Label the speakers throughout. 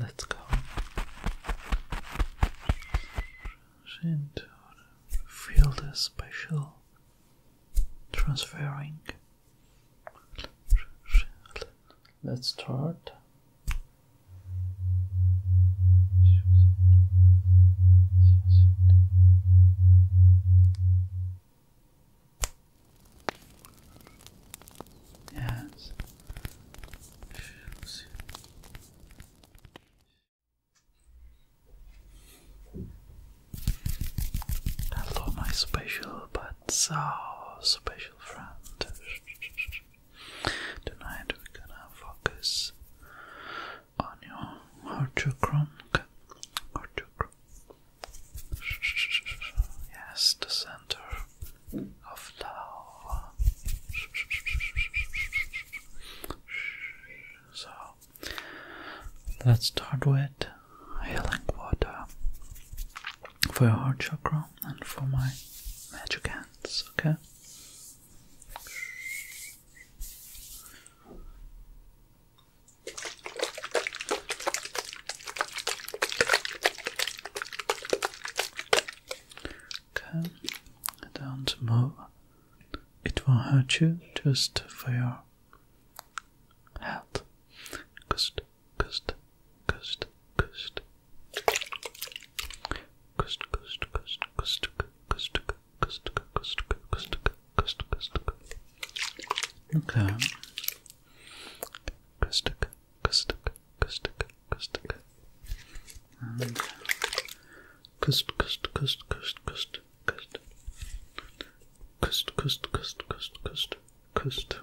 Speaker 1: Let's go. Feel the special transferring. Let's start. Yes. Shoes. Hello, my special but so special friend. Tonight we're gonna focus on your heart chakra. Yes, the center of lava. So let's start with healing water for your heart chakra and for my magic hands, okay? Okay, don't move. It won't hurt you just for your health. Cost, cost, cost, cost. Cost, cost, cost, cost, cost, cost, cost, cost, cost, cost. Okay. Cost, Kustuk, Kustuk, Kustuk. And Kust, Kust, Kust, Kust, Kust, Kust. Kust, Kust, Kust, Kust, Kust,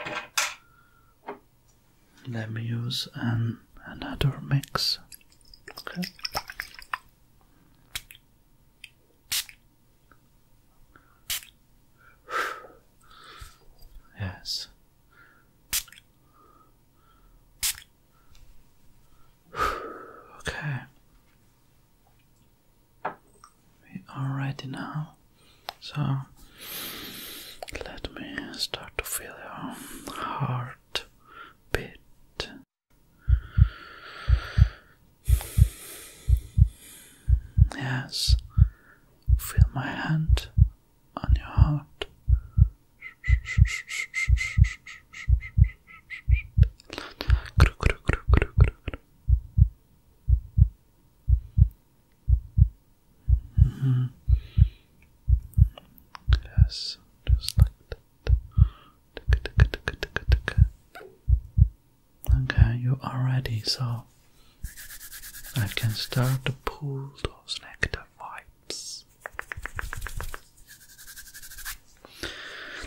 Speaker 1: Kust. Let me use an another mix. Okay. Yes. Okay. We are ready now. So let me start to feel your heart beat. Yes, feel my hand on your heart. Mm-hmm. Yes, just like that. Okay, you are ready, so I can start to pull those negative vibes.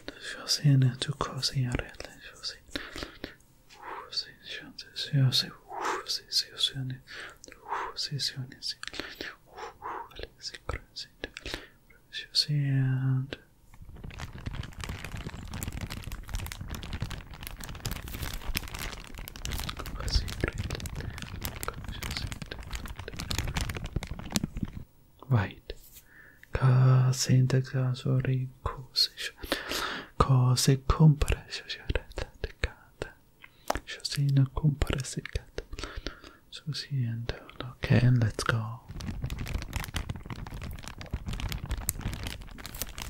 Speaker 1: Düşüyorsun, çıkıyorsun yerlerden, düşüyorsun. And White. A secret Right. Casenta casori cose cose compare società de cata. Josina compare si cata. Susie and okay, and let's go.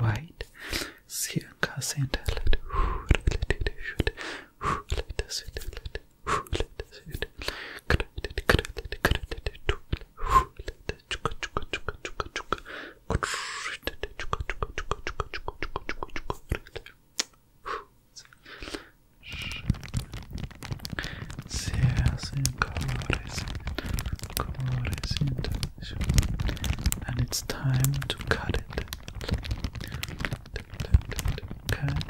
Speaker 1: Right. Circa sentlet. Who let it shoot? Who let us it? Who let us it? Credit, credit, credit, who let us chuka chuka chuka chuka chuka. Se hacen colores and colores and it's time to cut it. Cut.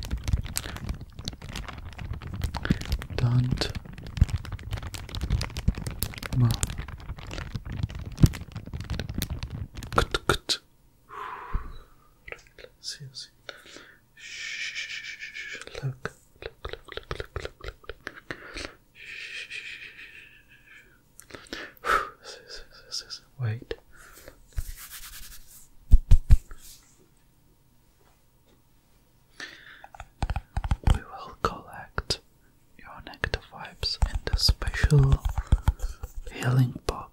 Speaker 1: do Cut, cut. Let's see, let's see. Shh, look, look, look, look, look, look, look, look. Shh. Wait. We will collect your negative vibes in the special healing box.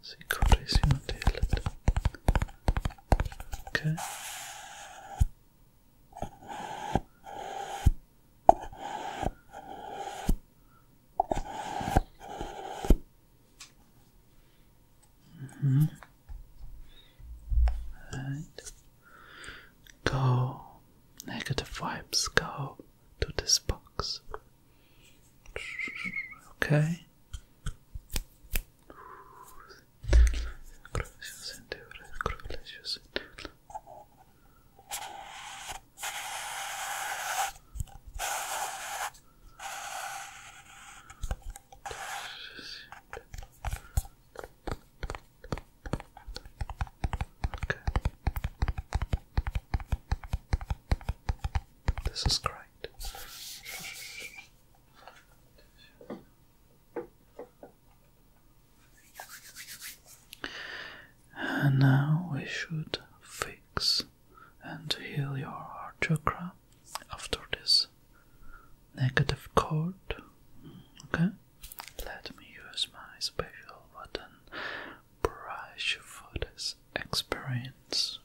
Speaker 1: si korisimo Okay. hmm Right. Go negative vibes go to this box. Okay. This is great. And now we should fix and heal your heart chakra after this negative chord. Okay, let me use my special button brush for this experience.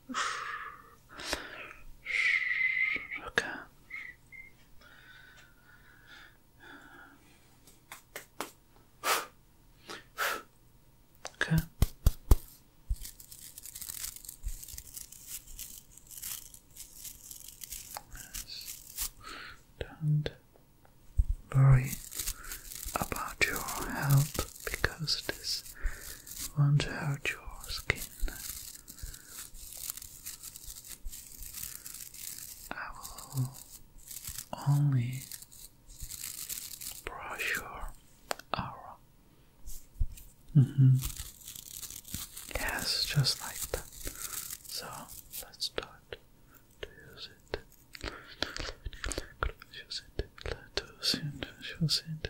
Speaker 1: Okay. Okay. Don't worry about your health because this won't hurt your skin. I will only brush your aura. Mm-hmm. Yes, just like that. So let's start to Use it.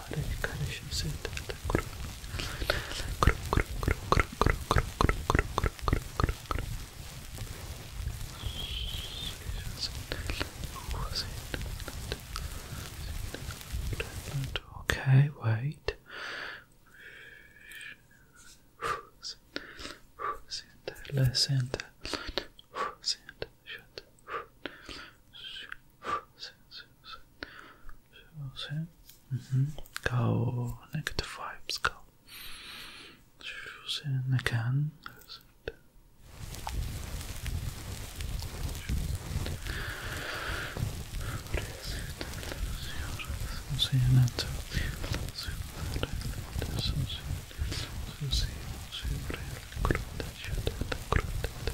Speaker 1: para de karışım Okay, wait. Less Mm-hmm. Go negative vibes go. Choosing again.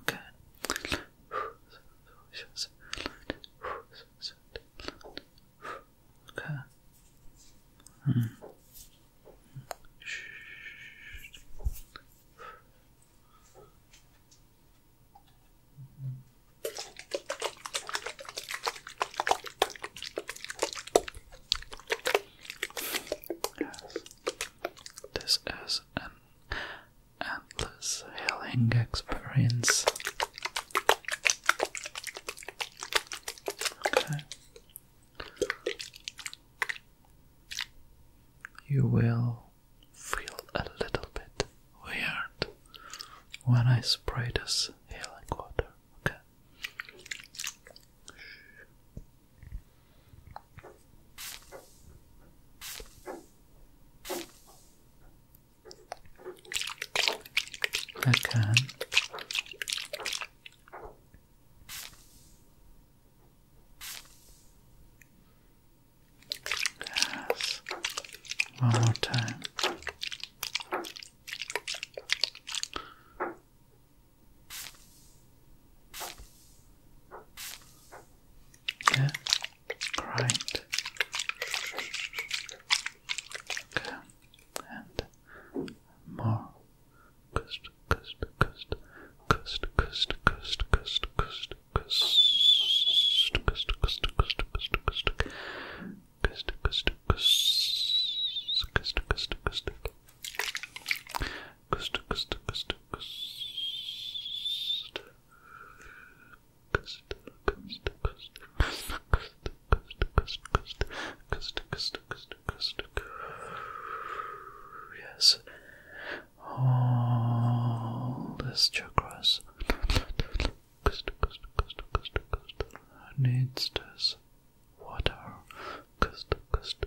Speaker 1: Okay. Hmm. This is an endless healing experience. Okay. You will feel a little bit weird when I spray this healing water. Okay. Okay. Yes. One more time. Yeah. Right. Okay. And more. Cust, cust, cust, cust, cust, cust, cust, cust, cust, cust, cust, cust, cust, cust, cust, cust, cust, cust, Cust, cust, cust, cust. Cust, cust, cust. Cust, cust, cust, cust. Cust, cust, cust, cust. Yes. All these chakras. Cust, cust, cust, cust, cust. Needs this water. Cust, cust,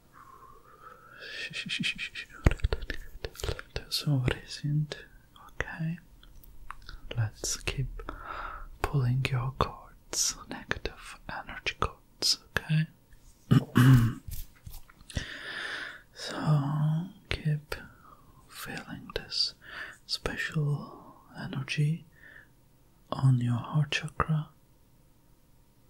Speaker 1: So what is it? Okay. Let's keep pulling your cords, negative energy cords, okay? so keep feeling this special energy on your heart chakra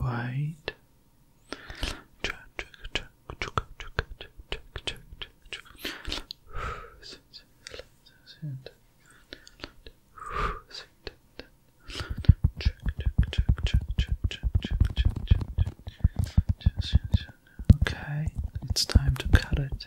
Speaker 1: Wait. Okay, it's time to cut it.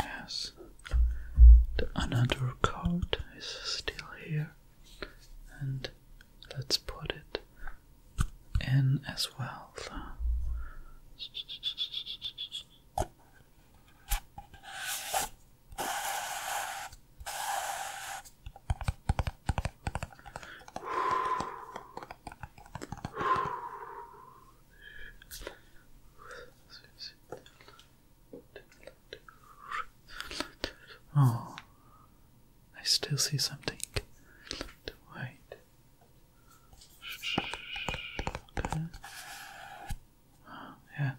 Speaker 1: Yes, the another card is still here, and let's put it in as well. Oh, I still see something. Wait. yes.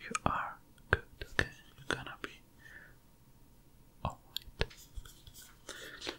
Speaker 1: you are good. Okay, you're gonna be all right.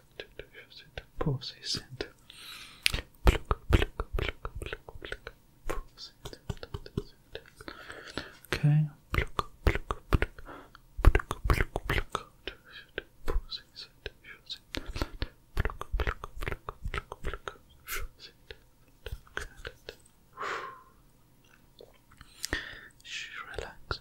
Speaker 1: Poses and Okay. Relax.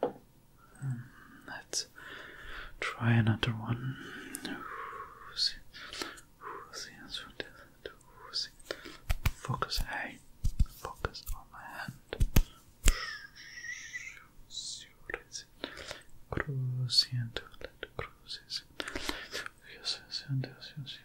Speaker 1: Hmm, let's try another one. Focus, hey, focus on my hand. Crucian, crucian, crucian, crucian,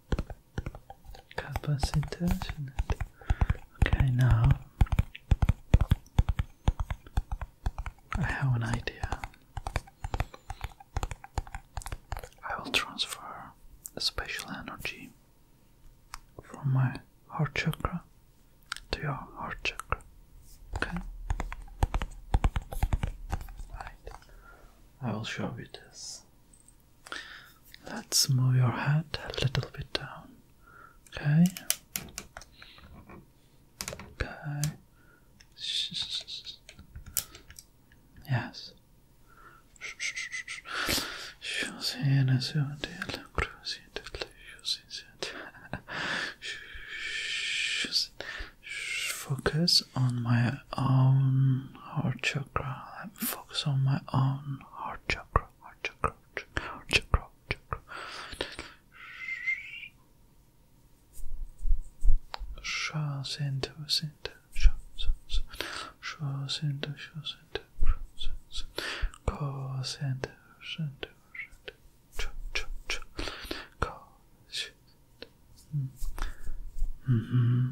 Speaker 1: capacitor, Okay, now I have an idea. I will transfer a special energy from my heart chakra to your heart chakra. Okay? Right. I will show you this. Let's move your head a little bit down. Okay. Okay. Yes. Focus on my own heart chakra. Let me focus on my own heart chakra, heart chakra, heart chakra, heart chakra. Shas into, into, shas, shas into, shas into, shas into, cos into, shas into, shas into, ch, ch, ch, cos, Mm-hmm.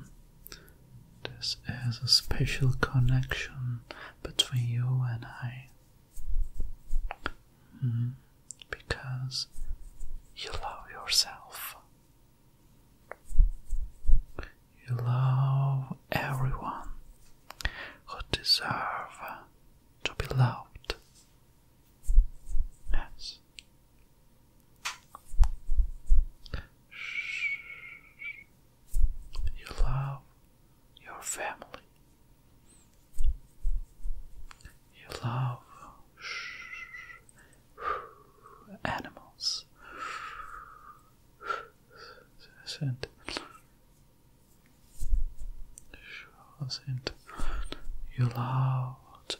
Speaker 1: This is a special connection between you and I. Mm-hmm. Because you love yourself. You love everyone who deserve to be loved. Yes, you love your family. You love animals. And you love the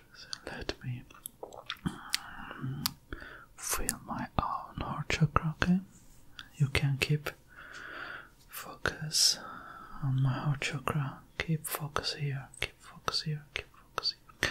Speaker 1: So let me um, feel my own heart chakra, okay? You can keep focus on my heart chakra. Keep focus here, keep focus here, keep focus here.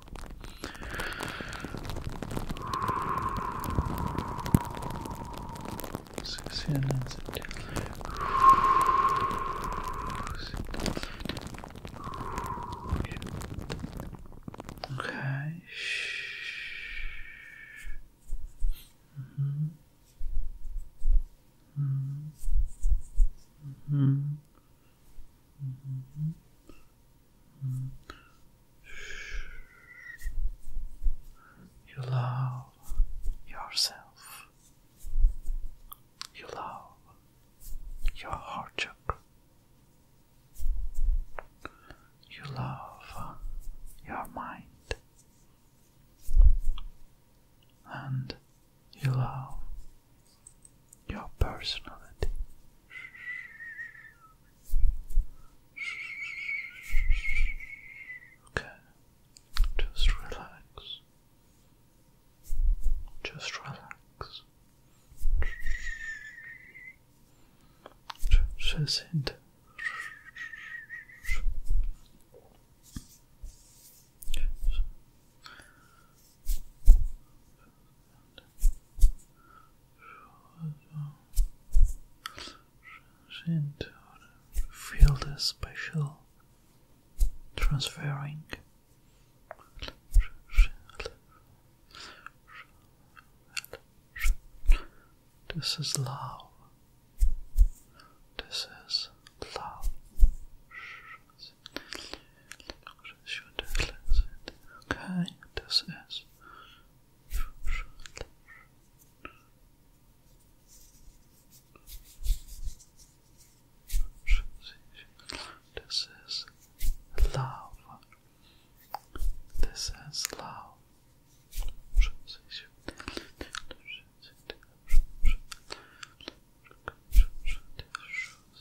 Speaker 1: Okay. Mm -hmm. Mm -hmm. Mm-hmm. You love yourself. You love your heart You love your mind. And you love your personality. Okay, just relax. Just relax. Just sit feel the special transferring this is love this is love Okay, this is this is love. This is love.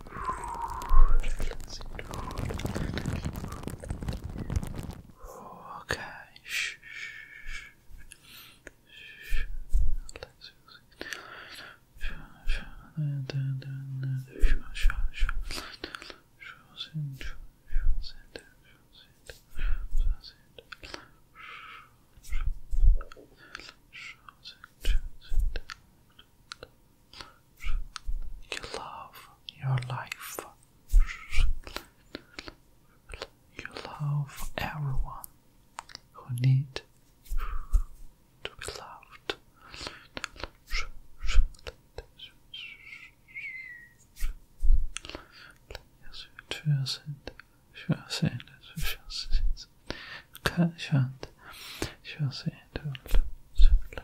Speaker 1: Okay. Shh. You love your life. You love everyone who need to be loved. Yes, just it, just it, just it, just it, just it,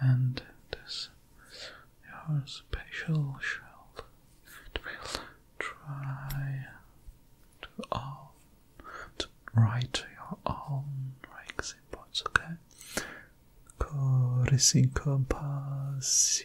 Speaker 1: and this your special shell will try to own to write your own ranks okay? Corresi compass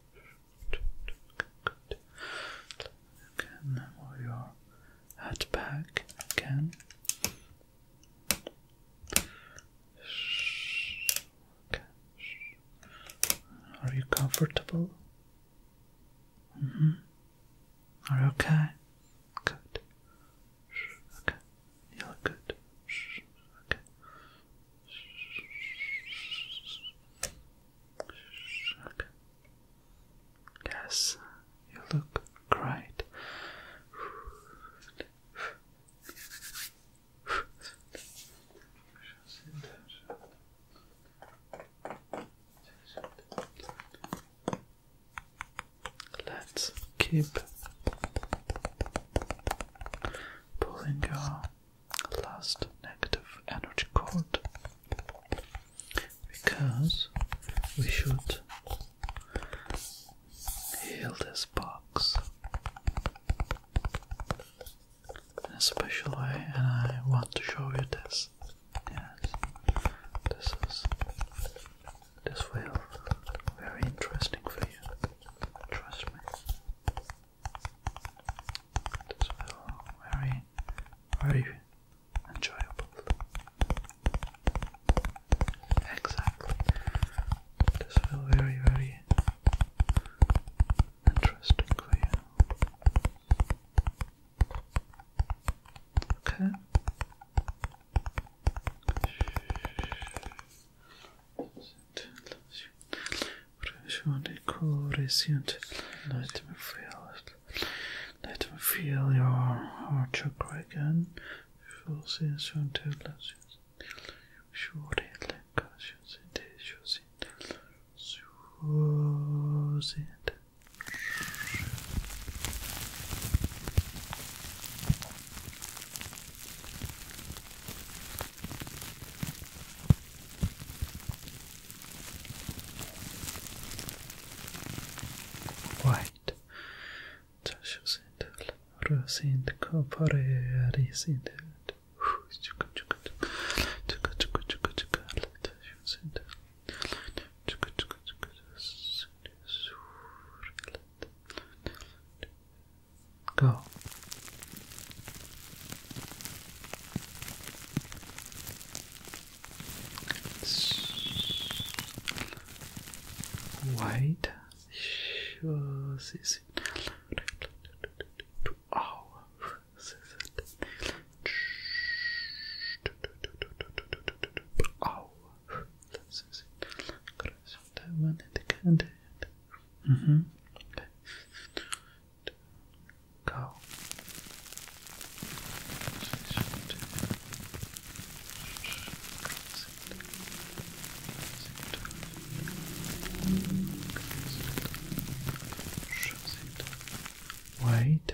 Speaker 1: Again, move your head back again. Okay. Are you comfortable? Mm -hmm. Are you okay? Good. Okay. You look good. Okay. Yes, you look great. Let's keep pulling your last negative energy chord because we should heal this box in a special way and I want to show you this. Yes, this is this will very interesting for you. Trust me. It is well very, very enjoyable. Exactly. This will very, very interesting for Okay. Resient. Let me feel it. Let me feel your heart chakra again. Feel sensation to Surely, like conscious, it is choosing. Choosing. White touches it, rose and copper is in it. Go. White shows is oh, oh, that one at the end. Mm-hmm go. Wait.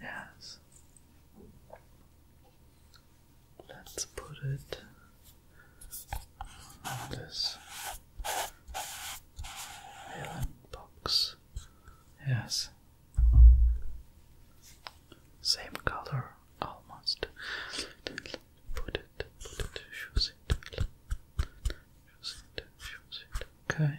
Speaker 1: yes. Let's put it this villain box. Yes. Same color almost. Put it, put it, choose it. Choose it, choose it. Okay.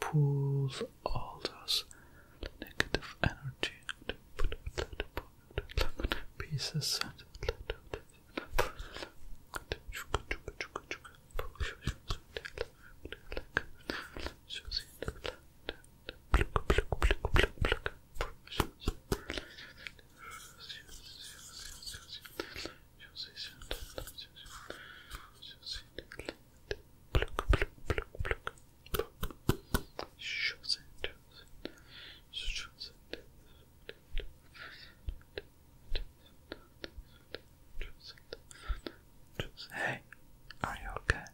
Speaker 1: pulls all those negative energy pieces and pieces Hey, are you okay?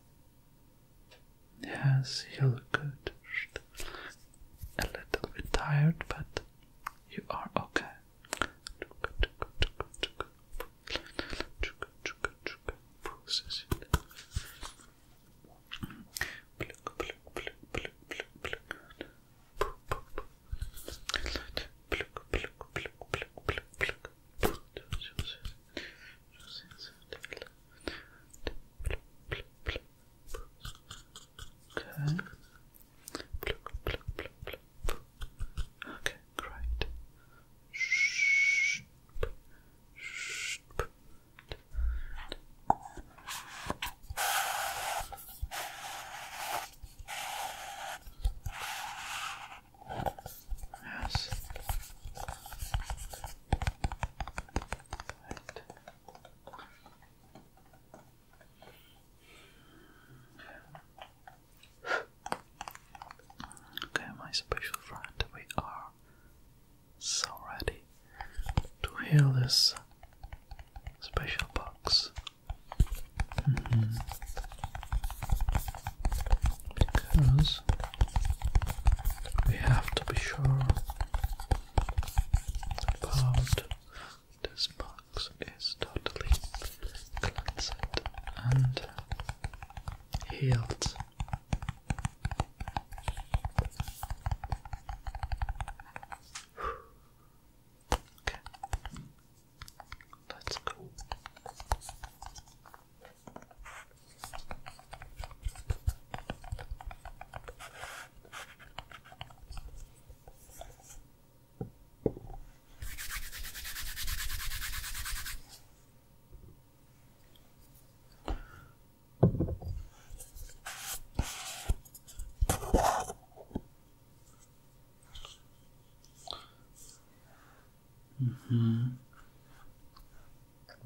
Speaker 1: Yes, you look good. A little bit tired, but you are okay process it. Pluck, pluck, pluck, pluck, pluck, pluck, pluck, pluck, pluck, pluck, pluck, pluck, Okay. Pluck, pluck, pluck, pluck, pluck, Okay, great. Yes. Right. Okay, my special friend, we are so ready to heal this special box. Mm-hmm. Because we have to be sure about this box is totally cleansed and healed. Let's go. Mm hmm.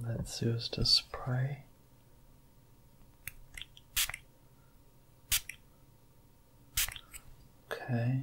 Speaker 1: Let's use the spray. Okay.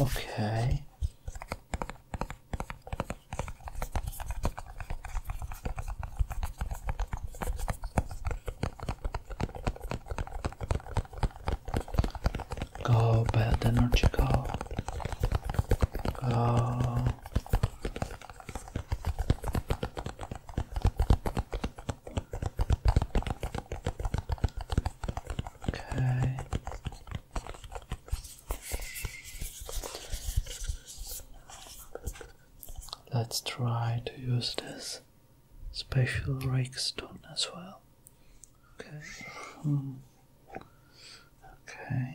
Speaker 1: Okay. Go, bad energy, go. Go. Okay. Let's try to use this special rake stone as well. Okay. Hmm. Okay.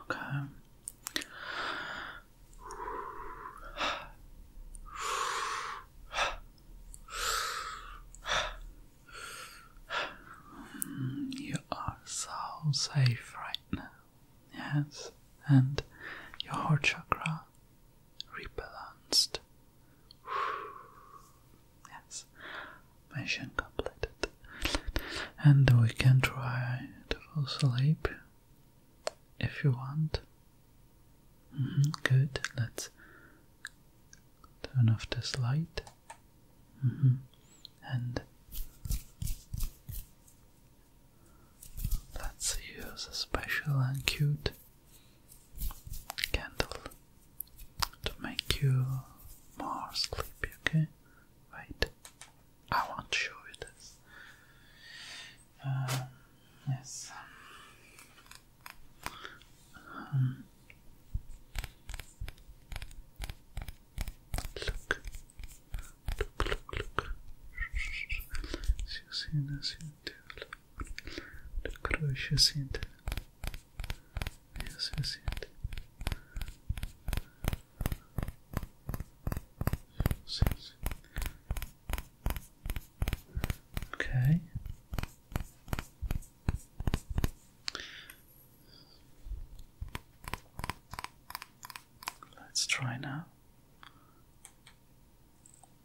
Speaker 1: Okay. You are so safe right now, yes, and your heart chakra rebalanced. yes, mission completed. And we can try to fall asleep if you want. Mm-hmm. good, let's turn off this light. Mm-hmm. And let's use a special and cute candle to make you more sleepy, okay? Wait, I want to show you this. Um, yes. Um, look, look, look, look. You see this? You do. The сейчас это. Yes, yes, it. Okay. Let's try now.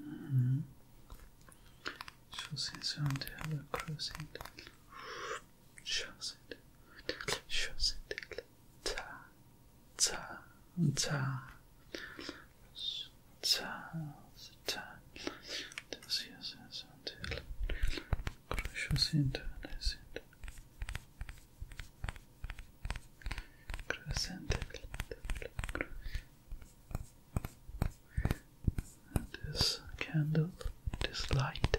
Speaker 1: Mm -hmm. on the other crossing. Shows it. Shows it ta ta ta ta ta this candle, this light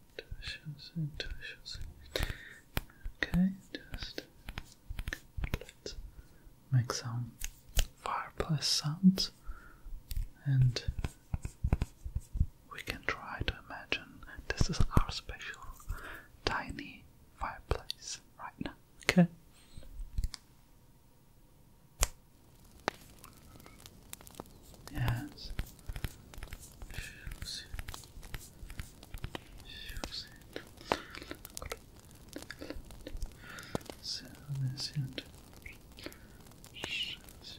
Speaker 1: Intuitions, Okay, just let's make some fireplace sounds and we can try to imagine this is our special tiny fireplace right now. Okay. Yes. Shoes.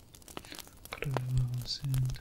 Speaker 1: close and close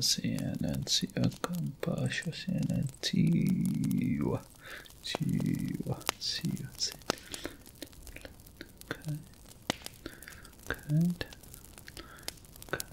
Speaker 1: سيانتي أكامباشو سيانتيوا تيوا سيوا Good. Good. Good. Good.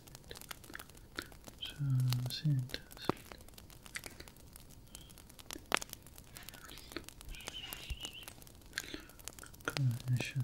Speaker 1: sleep, sleep, Cognition.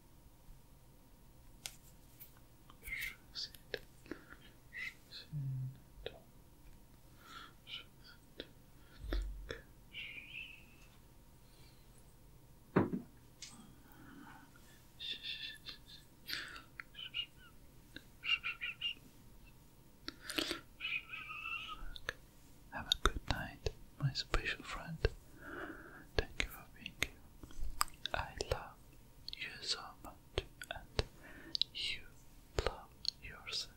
Speaker 1: Have a good night, my special friend. Thank you for being here. I love you so much, and you love yourself.